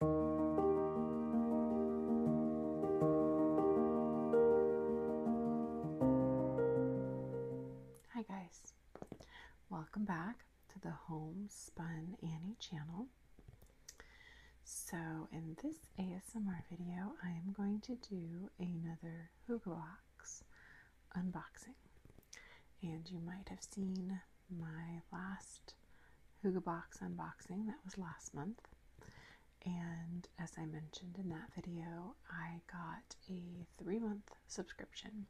Hi guys, welcome back to the Homespun Annie channel. So in this ASMR video, I am going to do another Hugo Box unboxing. And you might have seen my last Hugo Box unboxing. That was last month. And as I mentioned in that video, I got a three month subscription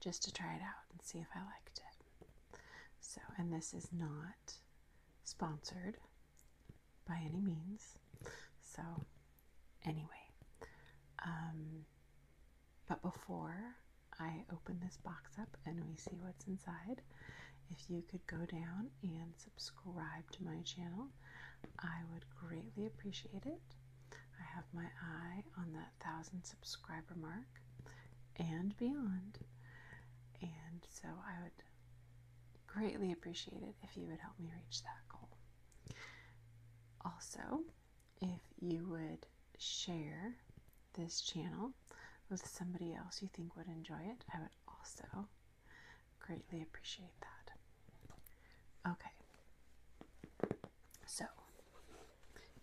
just to try it out and see if I liked it. So, and this is not sponsored by any means. So, anyway, um, but before I open this box up and we see what's inside, if you could go down and subscribe to my channel, I would greatly appreciate it. I have my eye on that thousand subscriber mark and beyond. And so I would greatly appreciate it if you would help me reach that goal. Also, if you would share this channel with somebody else you think would enjoy it, I would also greatly appreciate that. Okay, so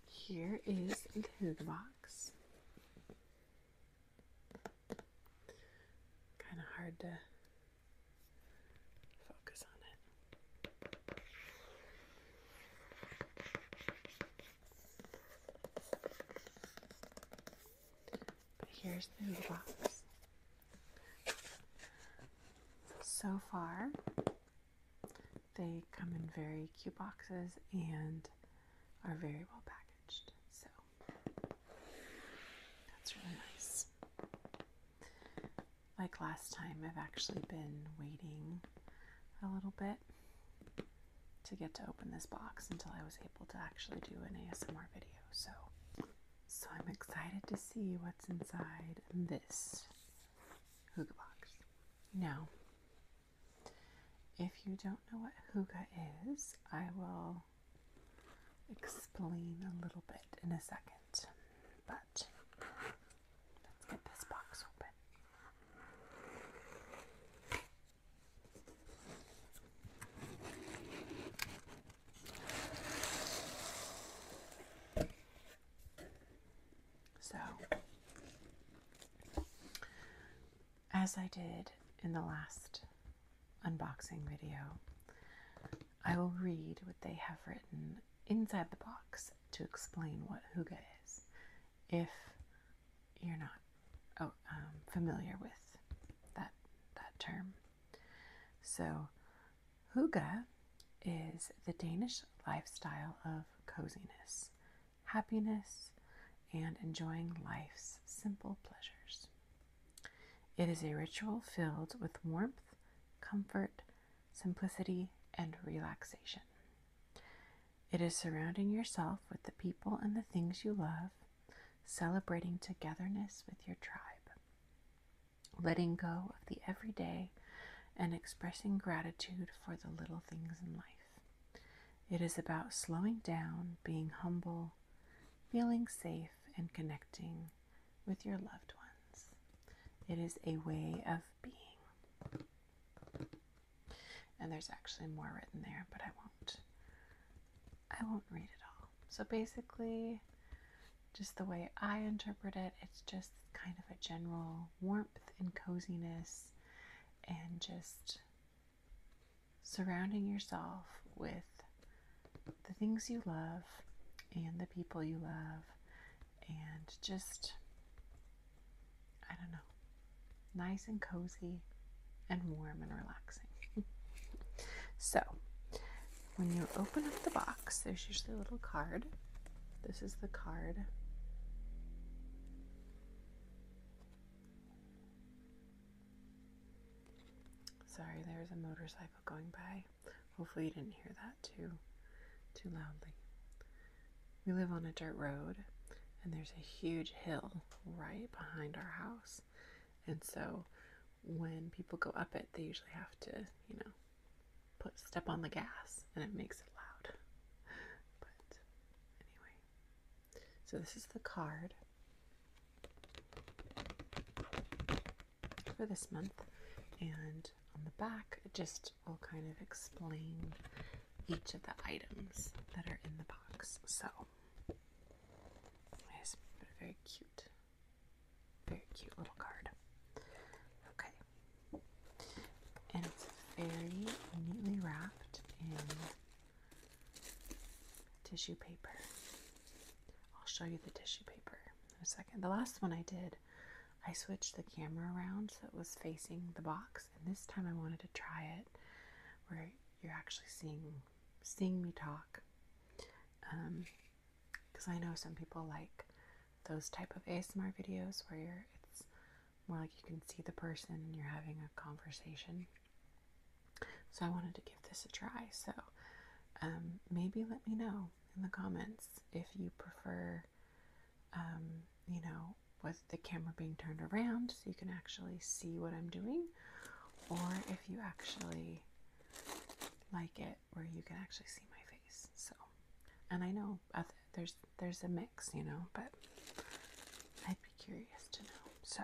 here is the food box. Kind of hard to focus on it here's the hula box. So far, they come in very cute boxes and are very well packaged. So that's really nice. Like last time, I've actually been waiting a little bit to get to open this box until I was able to actually do an ASMR video. So, so I'm excited to see what's inside this hookah box. Now, if you don't know what hookah is, I will explain a little bit in a second. But Let's get this box open. So, as I did in the last unboxing video, I will read what they have written inside the box to explain what huga is if you're not oh, um, familiar with that that term. So, huga is the Danish lifestyle of coziness, happiness, and enjoying life's simple pleasures. It is a ritual filled with warmth, comfort, simplicity, and relaxation. It is surrounding yourself with the people and the things you love, celebrating togetherness with your tribe, letting go of the everyday, and expressing gratitude for the little things in life. It is about slowing down, being humble, feeling safe, and connecting with your loved ones. It is a way of being. And there's actually more written there, but I won't. I won't read it all. So basically, just the way I interpret it, it's just kind of a general warmth and coziness and just surrounding yourself with the things you love and the people you love and just I don't know, nice and cozy and warm and relaxing. so, when you open up the box, there's usually a little card. This is the card. Sorry, there's a motorcycle going by. Hopefully, you didn't hear that too, too loudly. We live on a dirt road, and there's a huge hill right behind our house. And so when people go up it, they usually have to, you know, put step on the gas and it makes it loud. But anyway, so this is the card for this month. And on the back, just first, we'll kind of explain each of the items that are in the box. So, it's very cute, very cute little card. Okay. And it's very neatly wrapped in tissue paper. I'll show you the tissue paper in a second. The last one I did, I switched the camera around so it was facing the box and this time I wanted to try it where you're actually seeing seeing me talk. Because um, I know some people like those type of ASMR videos where you're, it's more like you can see the person and you're having a conversation. So I wanted to give this a try. So um, maybe let me know in the comments if you prefer um, you know, with the camera being turned around so you can actually see what I'm doing, or if you actually like it where you can actually see my face. So, and I know there's there's a mix, you know, but I'd be curious to know. So,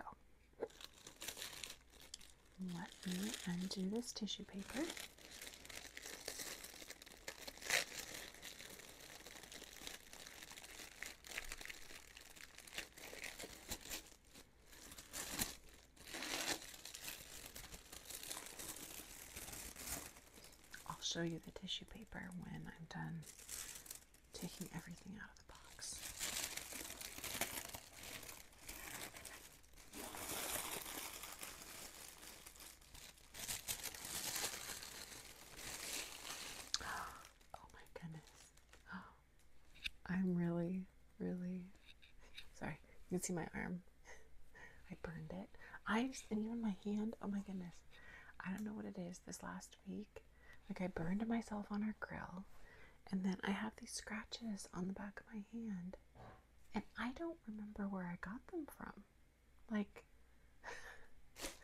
let me undo this tissue paper. I'll show you the tissue paper when I'm done taking everything out of the box. Oh my goodness. I'm really, really sorry. You can see my arm. I burned it. I just, and even my hand. Oh my goodness. I don't know what it is. This last week, like I burned myself on our grill, and then I have these scratches on the back of my hand, and I don't remember where I got them from. Like,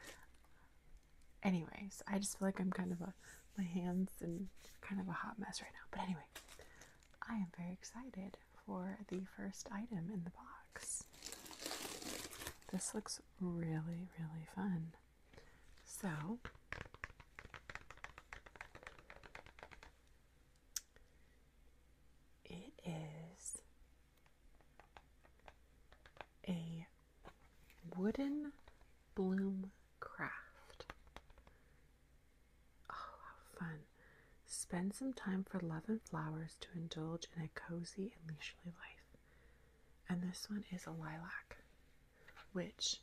anyways, I just feel like I'm kind of a, my hands and kind of a hot mess right now. But anyway, I am very excited for the first item in the box. This looks really, really fun. So, it is a wooden bloom craft. Oh, how fun! Spend some time for love and flowers to indulge in a cozy and leisurely life. And this one is a lilac, which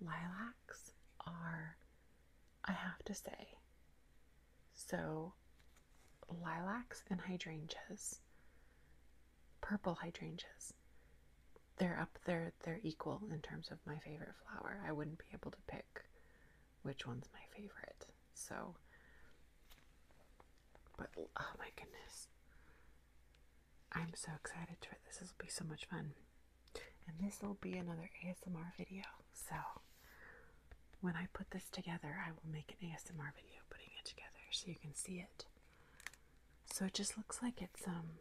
lilacs are, I have to say, so lilacs and hydrangeas, purple hydrangeas. They're up there, they're equal in terms of my favorite flower. I wouldn't be able to pick which one's my favorite. So, but oh my goodness. I'm so excited for this. This will be so much fun. And this will be another ASMR video. So, when I put this together, I will make an ASMR video putting it together so you can see it. So it just looks like it's um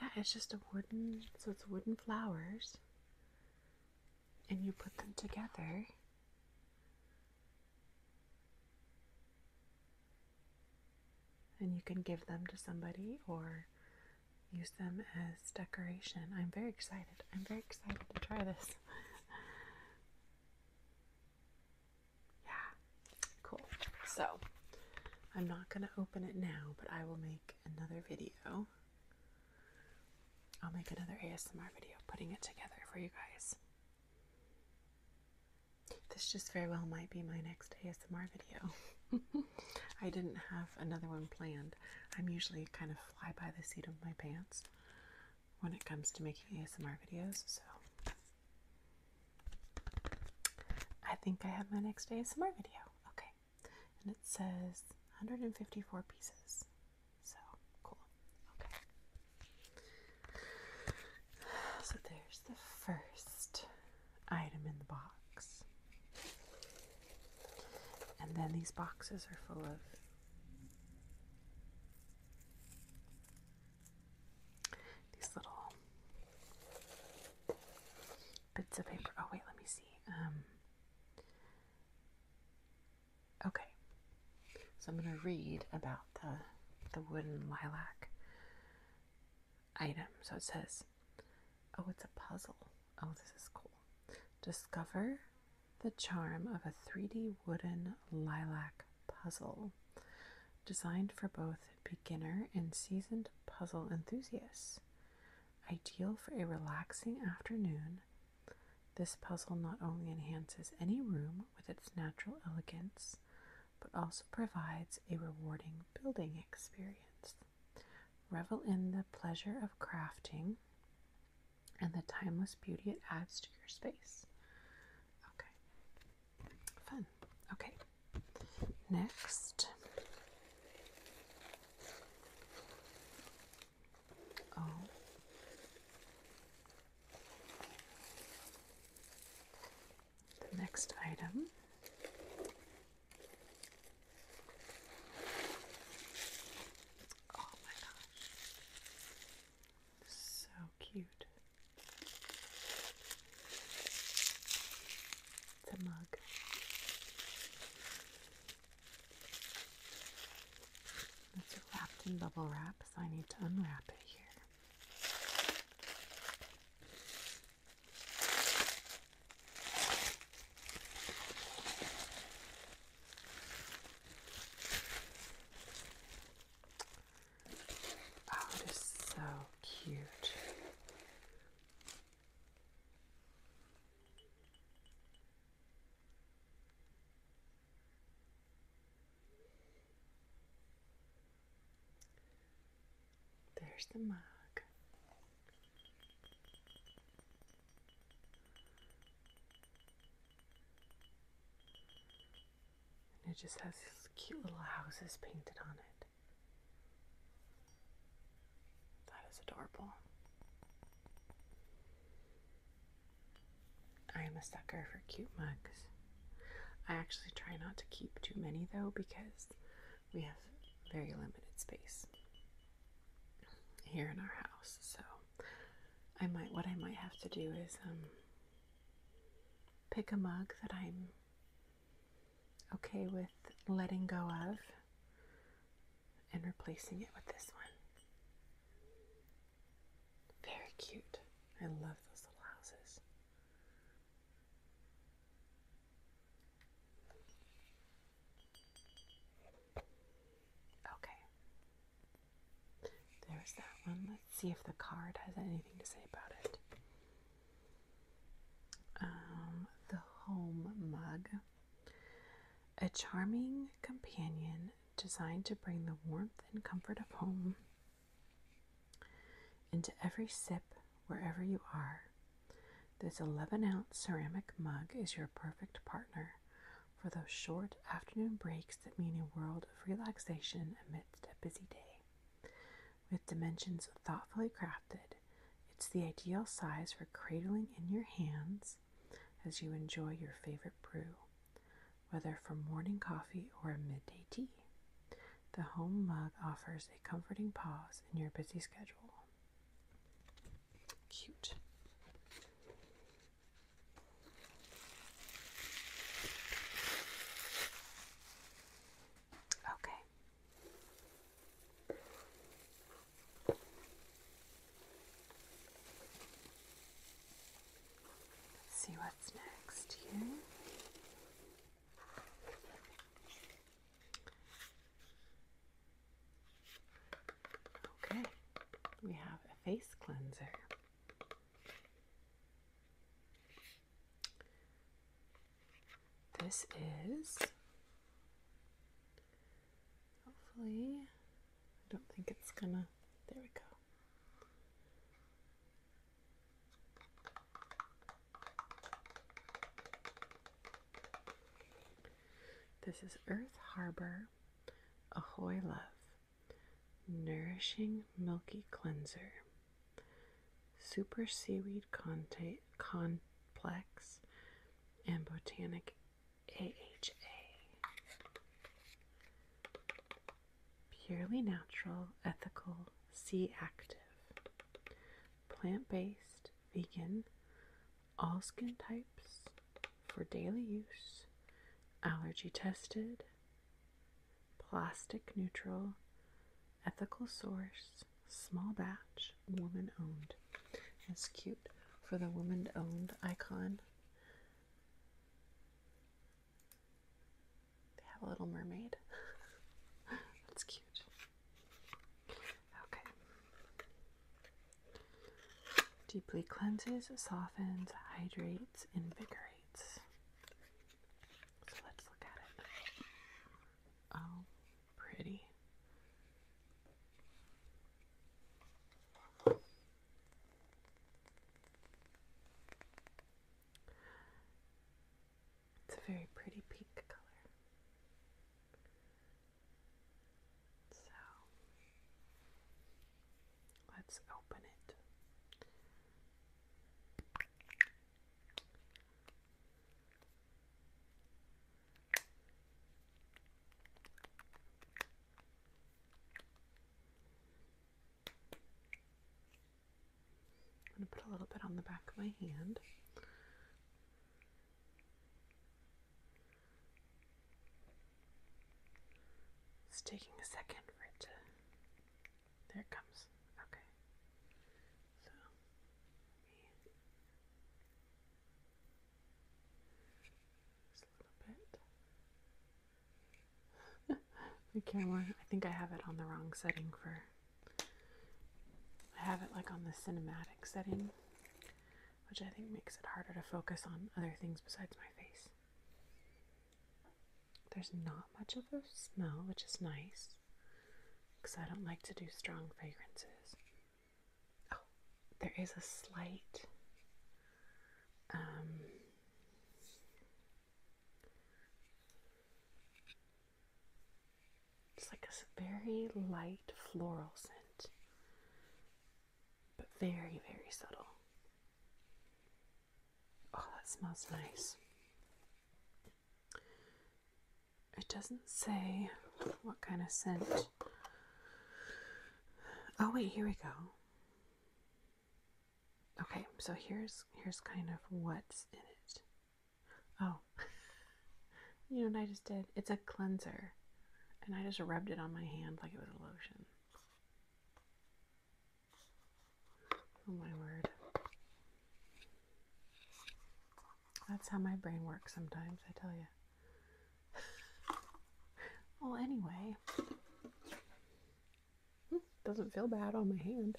yeah, it's just a wooden so it's wooden flowers and you put them together. And you can give them to somebody or use them as decoration. I'm very excited. I'm very excited to try this. yeah, cool. So I'm not going to open it now, but I will make another video. I'll make another ASMR video putting it together for you guys. This just very well might be my next ASMR video. I didn't have another one planned. I'm usually kind of fly by the seat of my pants when it comes to making ASMR videos. So I think I have my next ASMR video. Okay. And it says 154 pieces. So cool. Okay. So there's the first item in the box. And then these boxes are full of these little bits of paper. Oh, wait, let me see. Um, okay. So I'm going to read about the, the wooden lilac item. So it says, oh, it's a puzzle. Oh, this is cool. Discover the charm of a 3D wooden lilac puzzle designed for both beginner and seasoned puzzle enthusiasts. Ideal for a relaxing afternoon, this puzzle not only enhances any room with its natural elegance, but also provides a rewarding building experience. Revel in the pleasure of crafting and the timeless beauty it adds to your space. Okay, fun. Okay, next. Oh. The next item Oh my gosh. So cute. It's a mug. It's wrapped in bubble wrap, so I need to unwrap it here. Oh, it is so cute. There's the mug. And it just has these cute little houses painted on it. That is adorable. I am a sucker for cute mugs. I actually try not to keep too many though because we have very limited space here in our house, so I might what I might have to do is um, pick a mug that I'm okay with letting go of and replacing it with this one. Very cute. I love those little houses. Okay. There's that one. Let's see if the card has anything to say about it. Um, the home mug. A charming companion designed to bring the warmth and comfort of home into every sip wherever you are. This 11 ounce ceramic mug is your perfect partner for those short afternoon breaks that mean a world of relaxation amidst a busy day. With dimensions thoughtfully crafted, it's the ideal size for cradling in your hands as you enjoy your favorite brew, whether for morning coffee or a midday tea. The home mug offers a comforting pause in your busy schedule. Cute. Okay. see what's next here. Okay, we have a face cleanser. This is hopefully, I don't think it's gonna. There we go. This is Earth Harbor Ahoy Love, Nourishing Milky Cleanser, Super Seaweed Conta Complex, and Botanic AHA. Purely natural, ethical, sea active, plant based, vegan, all skin types for daily use, allergy tested, plastic neutral, ethical source, small batch, woman owned. That's cute for the woman owned icon. They have a little mermaid. That's cute. Okay. Deeply cleanses, softens, hydrates, invigorates. So let's look at it. Oh, pretty. It's a very pretty pink color. So let's open it. I'm going to put a little bit on the back of my hand. It's taking a second for it to. There it comes. Okay. So, a little bit. the camera, I think I have it on the wrong setting for. I have it like on the cinematic setting which I think makes it harder to focus on other things besides my face. There's not much of a smell, which is nice because I don't like to do strong fragrances. Oh, there is a slight um, it's like a very light floral scent but very, very subtle. Oh, that smells nice. It doesn't say what kind of scent. Oh wait, here we go. Okay, so here's here's kind of what's in it. Oh. you know what I just did? It's a cleanser. And I just rubbed it on my hand like it was a lotion. Oh my word. That's how my brain works sometimes, I tell you. well, anyway, doesn't feel bad on my hand.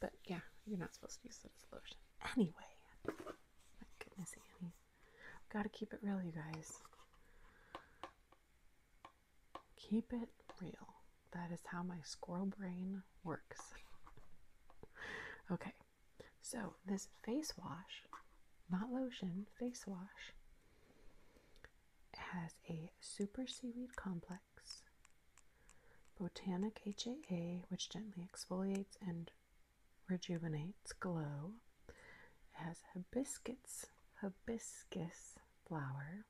But yeah, you're not supposed to use it as lotion. Anyway, goodness, Annie. Gotta keep it real, you guys. Keep it real. That is how my squirrel brain works. okay, so this face wash, not lotion, face wash, has a super seaweed complex, botanic HAA, which gently exfoliates and Rejuvenates Glow. It has hibiscus, hibiscus flower,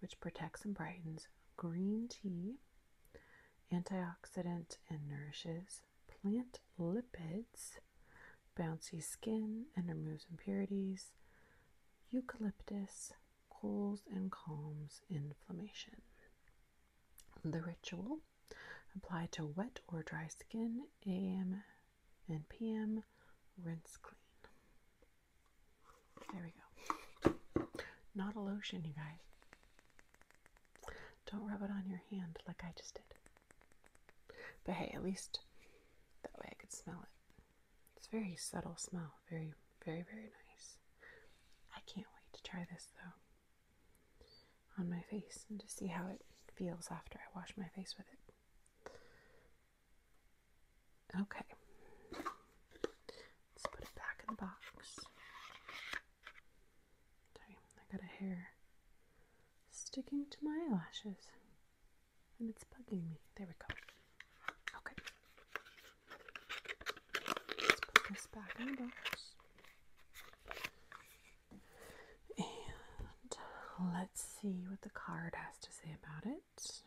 which protects and brightens green tea, antioxidant and nourishes plant lipids, bouncy skin and removes impurities, eucalyptus cools and calms inflammation. The ritual Apply to wet or dry skin, AM and PM, rinse clean. There we go. Not a lotion, you guys. Don't rub it on your hand like I just did. But hey, at least that way I could smell it. It's very subtle smell. Very, very, very nice. I can't wait to try this though on my face and just see how it feels after I wash my face with it. Okay. Let's put it back in the box. Sorry, I got a hair sticking to my lashes, and it's bugging me. There we go. Okay. Let's put this back in the box. And let's see what the card has to say about it.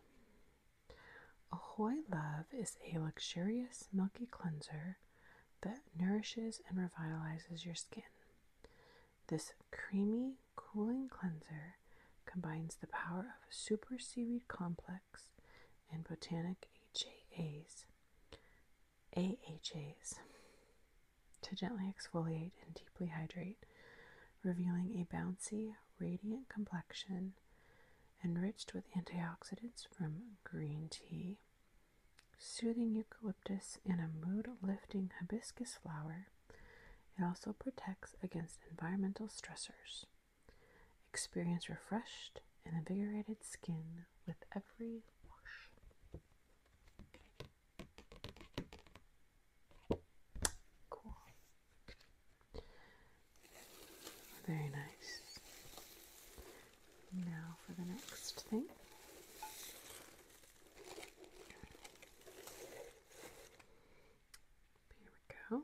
Ahoy Love is a luxurious milky cleanser that nourishes and revitalizes your skin. This creamy, cooling cleanser combines the power of a super seaweed complex and botanic HAAs AHAs to gently exfoliate and deeply hydrate, revealing a bouncy, radiant complexion enriched with antioxidants from green tea, soothing eucalyptus, and a mood lifting hibiscus flower. It also protects against environmental stressors. Experience refreshed and invigorated skin with every wash. Cool. Very nice. Now for the next thing. Here we go.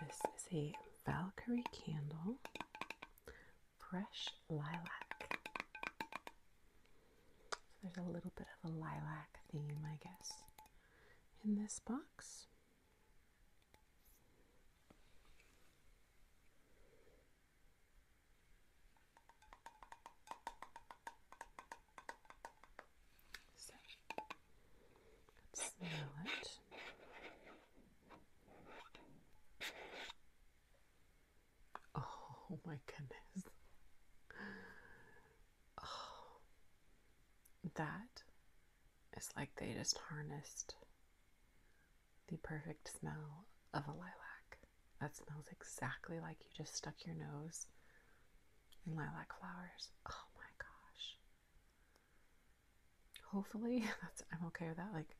This is a Valkyrie candle, fresh lilac. there's a little bit of a lilac theme, I guess, in this box smell it. Oh my goodness. Oh, that is like they just harnessed the perfect smell of a lilac. That smells exactly like you just stuck your nose in lilac flowers. Oh my gosh. Hopefully, that's I'm okay with that. Like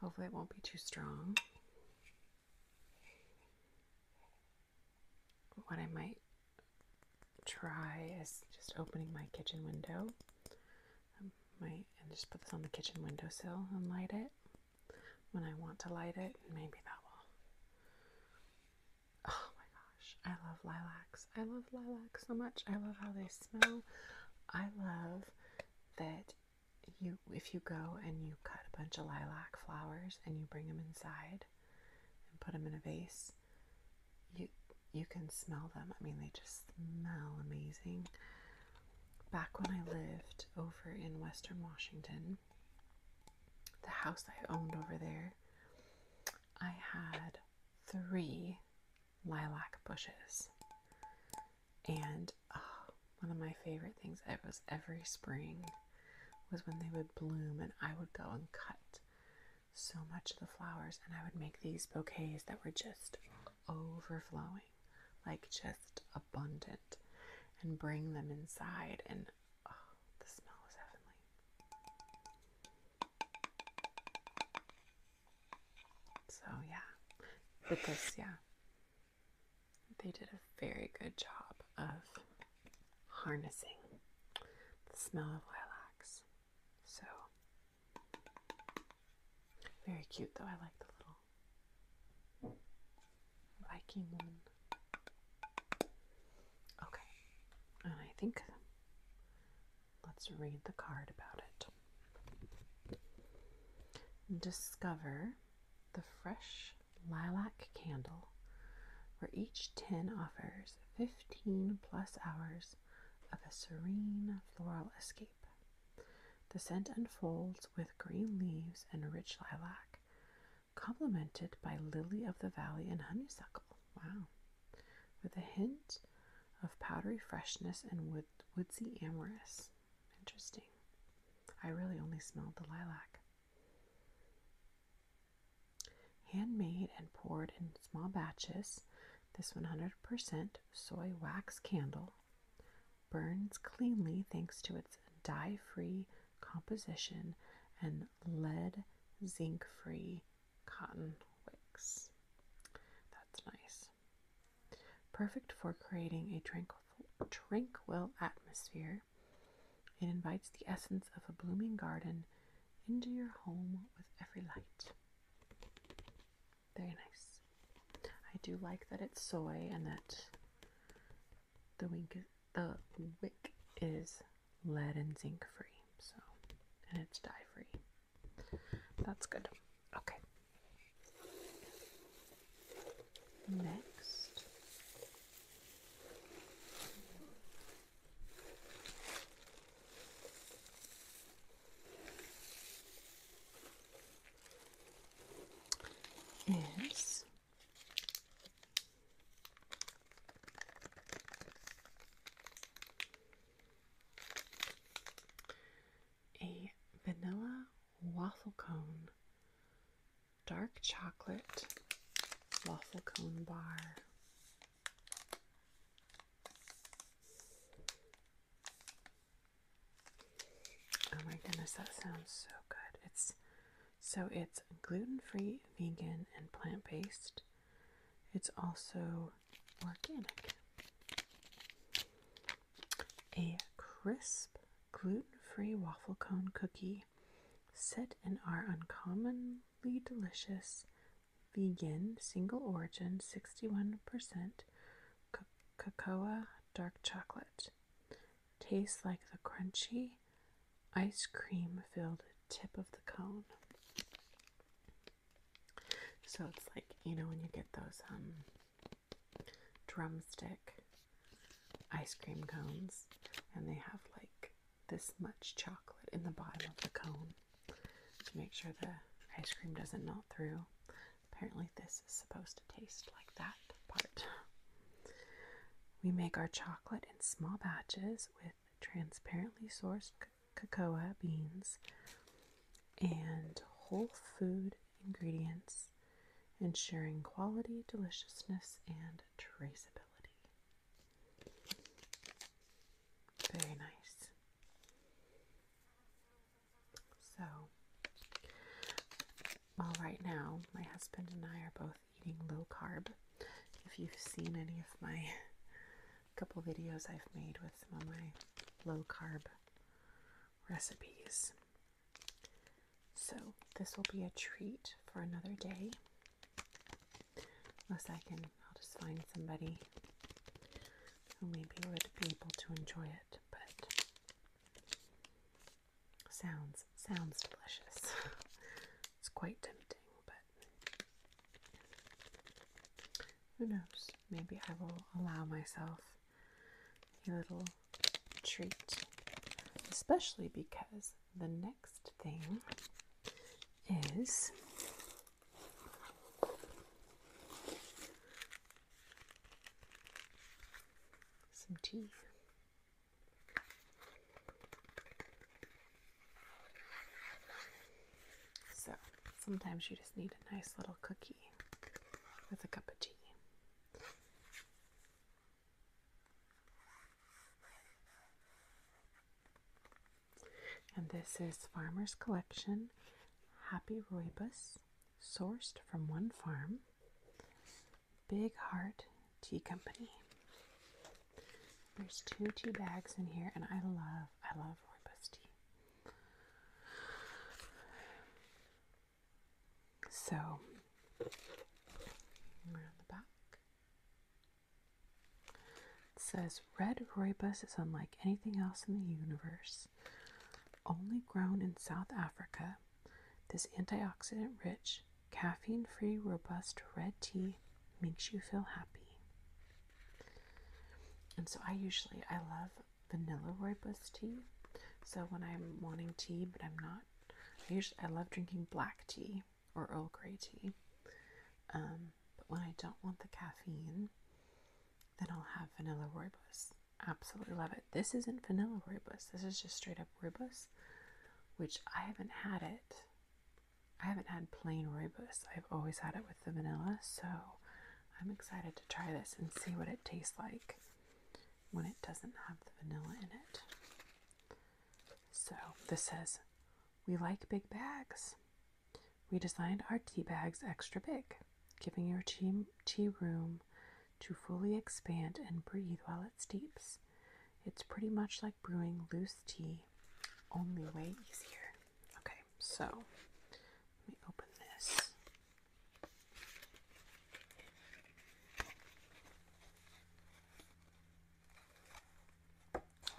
hopefully it won't be too strong. What I might try is just opening my kitchen window. I might and just put this on the kitchen windowsill and light it when I want to light it, maybe that will. Oh my gosh, I love lilacs. I love lilacs so much. I love how they smell. I love that you if you go and you cut a bunch of lilac flowers and you bring them inside and put them in a vase, you you can smell them. I mean, they just smell amazing. Back when I lived over in Western Washington, the house I owned over there, I had three lilac bushes. And oh, one of my favorite things it was every spring was when they would bloom and I would go and cut so much of the flowers and I would make these bouquets that were just overflowing like just abundant and bring them inside. And oh, the smell is heavenly. So, yeah, but yeah, they did a very good job of harnessing the smell of lilacs. So, very cute though. I like the little Viking woman. Okay. And I think let's read the card about it. Discover the fresh lilac candle where each tin offers 15 plus hours of a serene floral escape. The scent unfolds with green leaves and rich lilac, complemented by lily of the valley and honeysuckle. Wow. With a hint of powdery freshness and woodsy amorous. Interesting. I really only smelled the lilac. Handmade and poured in small batches, this 100% soy wax candle burns cleanly thanks to its dye free composition and lead zinc free cotton wicks. That's nice. Perfect for creating a tranquil, tranquil atmosphere. It invites the essence of a blooming garden into your home with every light. Very nice. I do like that it's soy and that the wink is, the wick is lead and zinc free, so and it's dye free. That's good. Okay. Next. Is a vanilla waffle cone, dark chocolate waffle cone bar. Oh my goodness, that sounds so good. It's so it's gluten free, vegan, and plant based. It's also organic. A crisp gluten free waffle cone cookie set in our uncommonly delicious. Vegan, single origin, 61% c- cocoa, dark chocolate tastes like the crunchy ice cream filled tip of the cone. So it's like, you know, when you get those um drumstick ice cream cones and they have like this much chocolate in the bottom of the cone to make sure the ice cream doesn't melt through. Apparently this is supposed to taste like that part. We make our chocolate in small batches with transparently sourced cocoa beans and whole food ingredients, ensuring quality, deliciousness, and traceability. Very nice. So, well, right now, my husband and I are both eating low carb. If you've seen any of my couple videos I've made with some of my low carb recipes. So, this will be a treat for another day. Unless I can, I'll just find somebody who maybe would be able to enjoy it. But Sounds sounds delicious. it's quite tempting, but who knows? Maybe I will allow myself a little treat, especially because the next thing is some tea. So sometimes you just need a nice little cookie with a cup of tea. And this is Farmer's Collection Happy Rooibos, sourced from one farm. Big Heart Tea Company. There's two tea bags in here, and I love, I love rooibos tea. So, around the back, it says red rooibos is unlike anything else in the universe. Only grown in South Africa, this antioxidant rich, caffeine free, robust red tea makes you feel happy. And so I usually I love vanilla rooibos tea. So when I'm wanting tea but I'm not, I usually I love drinking black tea or Earl Grey tea. Um, but when I don't want the caffeine, then I'll have vanilla rooibos. Absolutely love it. This isn't vanilla rooibos. This is just straight up rooibos, which I haven't had it. I haven't had plain rooibos. I've always had it with the vanilla, so I'm excited to try this and see what it tastes like when it doesn't have the vanilla in it. So this says, We like big bags. We designed our tea bags extra big, giving your tea, tea room to fully expand and breathe while it steeps. It's pretty much like brewing loose tea, only way easier. Okay, so let me open this.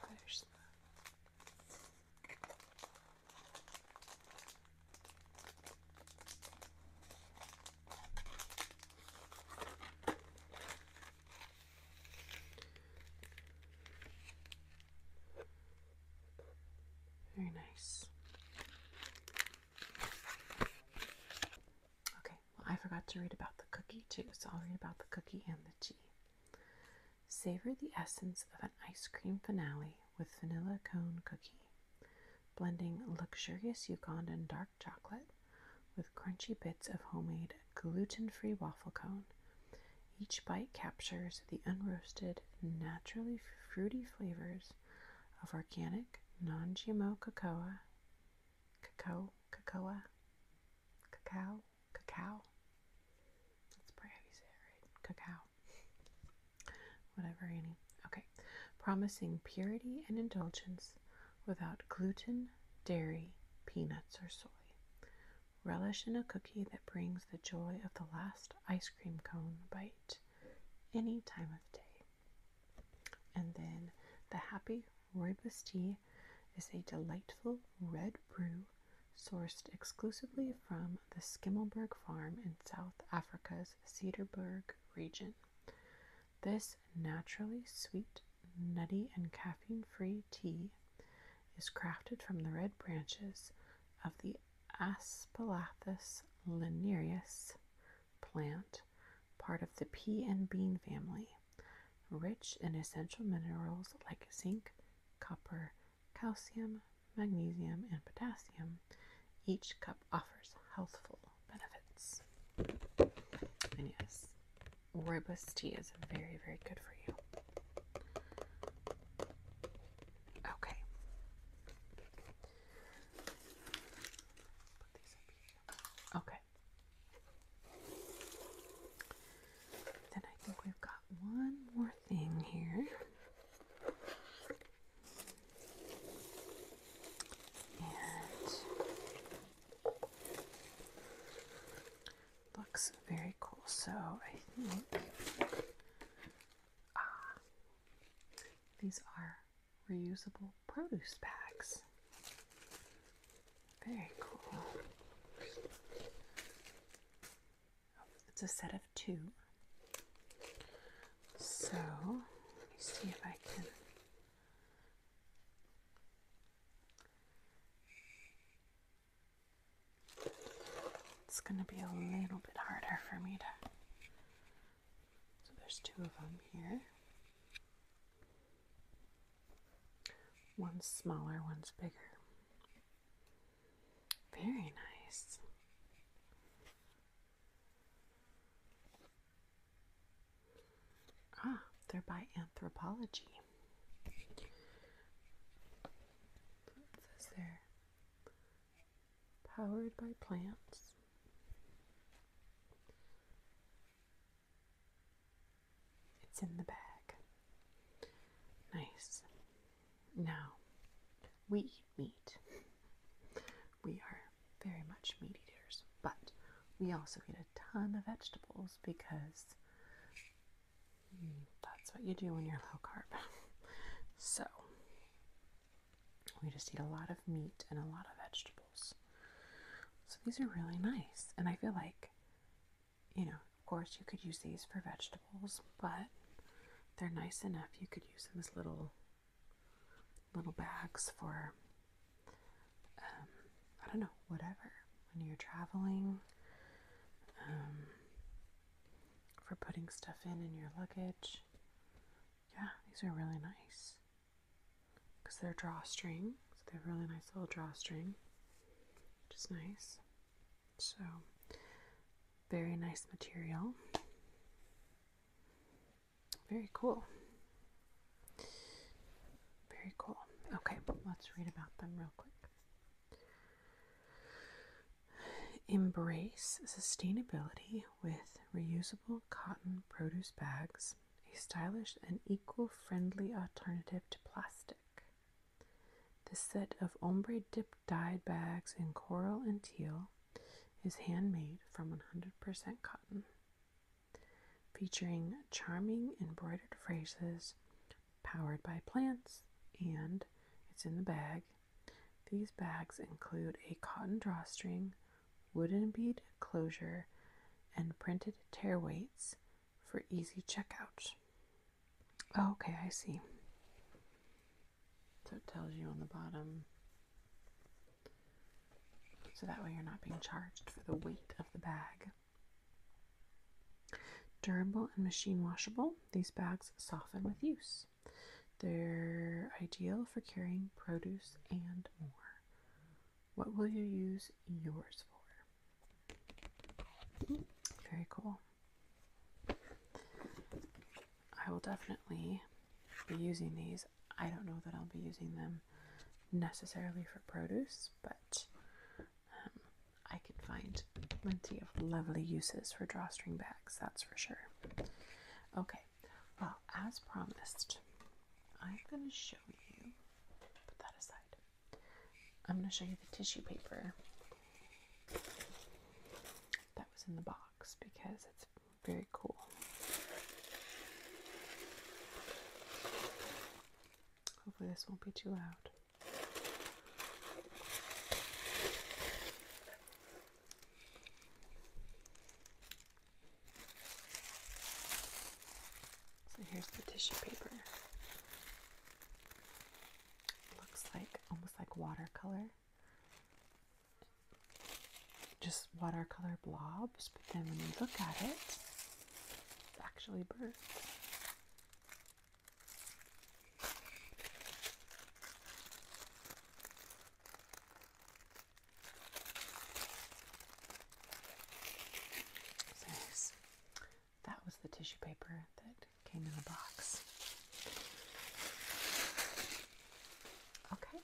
There's the very nice. Okay, well, I forgot to read about the cookie too, so I'll read about the cookie and the tea. Savor the essence of an ice cream finale with vanilla cone cookie blending luxurious Yukon dark chocolate with crunchy bits of homemade gluten free waffle cone. Each bite captures the unroasted, naturally fruity flavors of organic, non GMO cocoa, cacao, cacao, cacao, cacao. That's probably how Cacao whatever, Annie. Okay. Promising purity and indulgence without gluten, dairy, peanuts, or soy. Relish in a cookie that brings the joy of the last ice cream cone bite any time of day. And then the Happy Rooibos Tea is a delightful red brew sourced exclusively from the Skimmelberg farm in South Africa's Cedarburg region. This naturally sweet, nutty, and caffeine free tea is crafted from the red branches of the Aspalathus linearis plant, part of the pea and bean family, rich in essential minerals like zinc, copper, calcium, magnesium, and potassium. Each cup offers healthful benefits. And yes, rooibos tea is very, very good for you. Okay. Okay. Then I think we've got one more thing here. And looks very cool. So I think uh, these are reusable produce bags. Very cool. It's a set of two. So let me see if I can. It's going to be a little bit harder for me to. So there's two of them here. One's smaller, one's bigger. Very nice. Ah, they're by Anthropology. It says there, powered by plants. It's in the bag. Nice. Now, we eat meat. We are very much meat eaters, but we also eat a ton of vegetables because mm, that's what you do when you're low carb. so we just eat a lot of meat and a lot of vegetables. So these are really nice, and I feel like, you know, of course you could use these for vegetables, but they're nice enough you could use them as little little bags for, um, I don't know, whatever. When you're traveling, um, for putting stuff in in your luggage. Yeah, these are really nice because they're drawstring, so they have really nice little drawstring, which is nice. So, very nice material. Very cool. Very cool. Okay, let's read about them real quick. Embrace sustainability with reusable cotton produce bags, a stylish and eco friendly alternative to plastic. This set of ombre dip dyed bags in coral and teal is handmade from 100% cotton, featuring charming embroidered phrases powered by plants, and it's in the bag. These bags include a cotton drawstring, wooden bead closure, and printed tear weights for easy checkout. Oh, okay, I see. So it tells you on the bottom so that way you're not being charged for the weight of the bag. Durable and machine washable, these bags soften with use. They're ideal for carrying produce and more. What will you use yours for? Hmm, very cool. I will definitely be using these. I don't know that I'll be using them necessarily for produce, but um, I can find plenty of lovely uses for drawstring bags, that's for sure. Okay, well, as promised, I'm going to show you, put that aside, I'm going to show you the tissue paper that was in the box because it's very cool. Hopefully, this won't be too loud. So here's the tissue paper. Looks like almost like watercolor just watercolor blobs, but then when you look at it, it's actually birds. So that was the tissue paper that came in the box. Okay,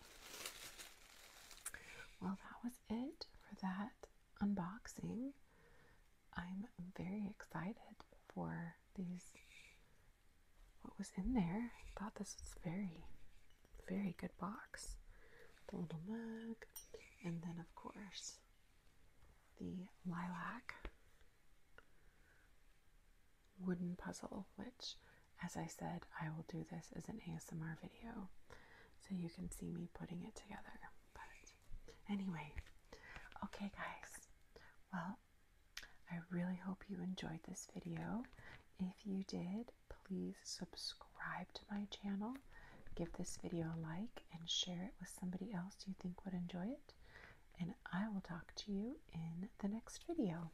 well, that was it for that unboxing. I'm very excited for these. What was in there? thought this was very, very good box. The little mug, and then of course the lilac wooden puzzle, which as I said, I will do this as an ASMR video so you can see me putting it together. But anyway, okay, guys. Well, I really hope you enjoyed this video. If you did, please subscribe to my channel, give this video a like, and share it with somebody else you think would enjoy it. And I will talk to you in the next video.